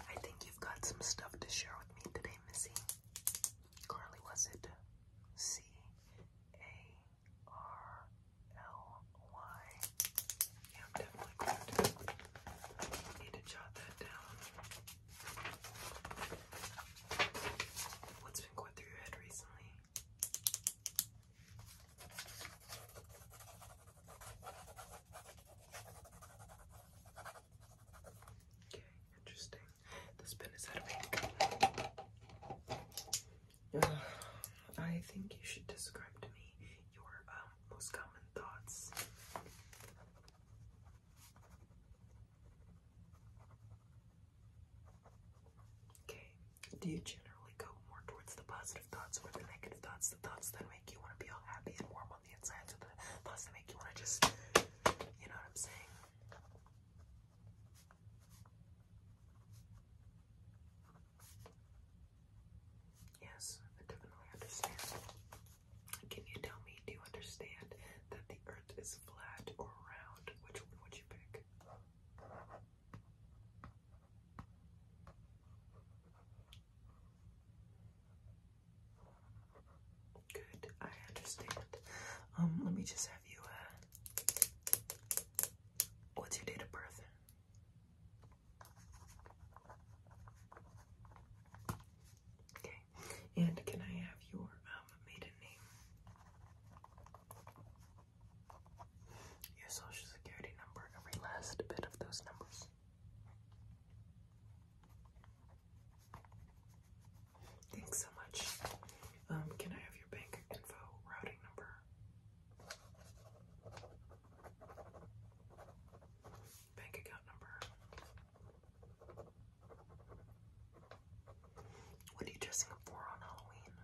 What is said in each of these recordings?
I think you've got some stuff to share with me today, Missy. Carly, was it C A R L Y? Yeah, I'm definitely going need to jot that down. What's been going through your head recently? interesting. This pen is out I think you should describe to me your um, most common thoughts. Okay, do you generally go more towards the positive thoughts or the negative thoughts? The thoughts that make you want to be all happy and warm on the inside, so the thoughts that make you want to just, you know what I'm saying? Yes, I definitely understand. Can you tell me, do you understand that the earth is flat or round? Which one would you pick? Good, I understand. Um, let me just have you, uh, what's your date of birth? Okay, and can I have your, um, maiden name? Your social security number, every last bit of those numbers. Thanks so much. Um, can I have your bank info routing number? Bank account number. What are you dressing up for on Halloween?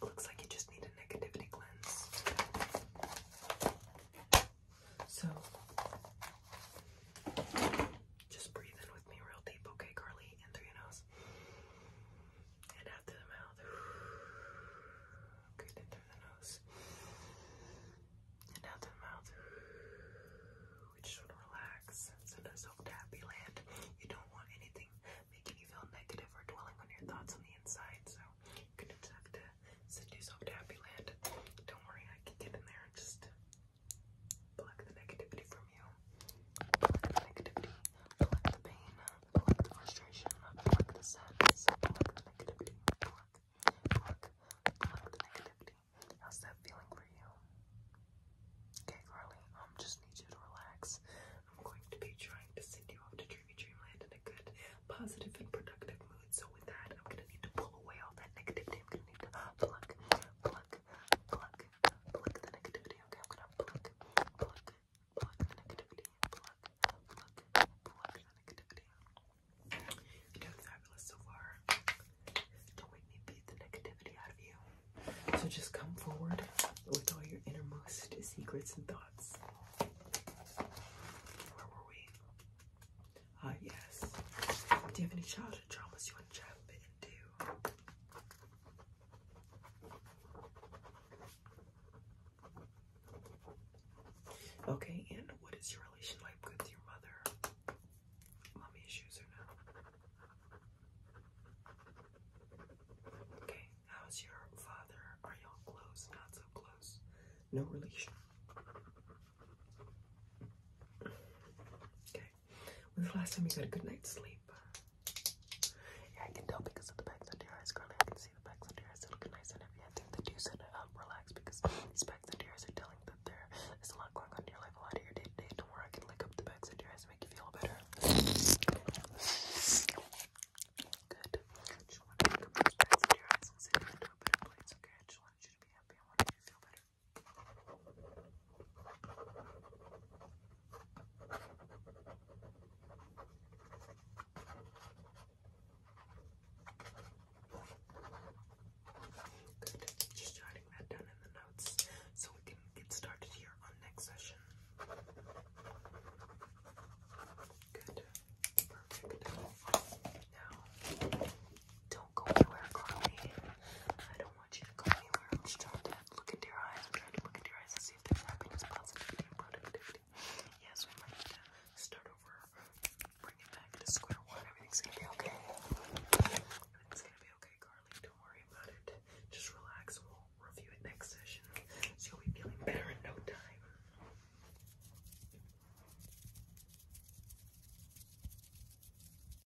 looks like you just need a negativity cleanse. So, just breathe in with me real deep, okay, Carly? In through your nose and out through the mouth. Good, in through the nose and the mouth. We just want to relax. Send us to happy land. You don't want anything making you feel negative or dwelling on your thoughts on the inside, so you're to have to send yourself to happy land. Don't worry, I can get in there and just pluck the negativity from you. Pluck the negativity, pluck the pain, pluck the frustration, pluck the sadness, pluck the negativity, Pluck, pluck the negativity. How's that feeling for you? Okay, Carly, um, just need you to relax. I'm going to be trying to send you off to Dreamy Dreamland in a good, positive, and productive mood. So with that, I'm gonna need to pull away all that negativity. I'm gonna need to pluck, pluck, pluck, pluck the negativity. Okay, I'm gonna pluck, pluck, Plug negativity. Plug, plug, plug negativity. You're doing fabulous so far. Don't make me beat the negativity out of you. So just come forward with all your innermost secrets and thoughts. Where were we? Ah, yes. Do you have any childhood traumas you want to jump into? Okay, and what is your relationship with your mother? Mommy issues or no? Okay, how's your father? Are y'all close? Not so close. No relation. Okay. When's the last time you got a good night's sleep? Yeah, I can tell because of the bags under your eyes, girl. I can see the bags under your eyes. They look nice and heavy. I think that you said um, relax because these bags under your eyes are telling that there is a lot going on in your life, a lot of your day to day. Don't worry, I can lick up the bags under your eyes and make you feel better. Good. I just wanted to be you feel better. Just jotting that down in the notes so we can get started here on next session. Good. Perfect. Now, don't go anywhere, Carly. I don't want you to go anywhere else. Try to look into your eyes. trying to look into your eyes and see if there's happiness, positivity, and productivity. Yes, we might need to start over, bring it back to square one. Everything's gonna be okay. Everything's gonna be okay, Carly. Don't worry about it. Just relax. We'll review it next session. you'll be feeling better in no time.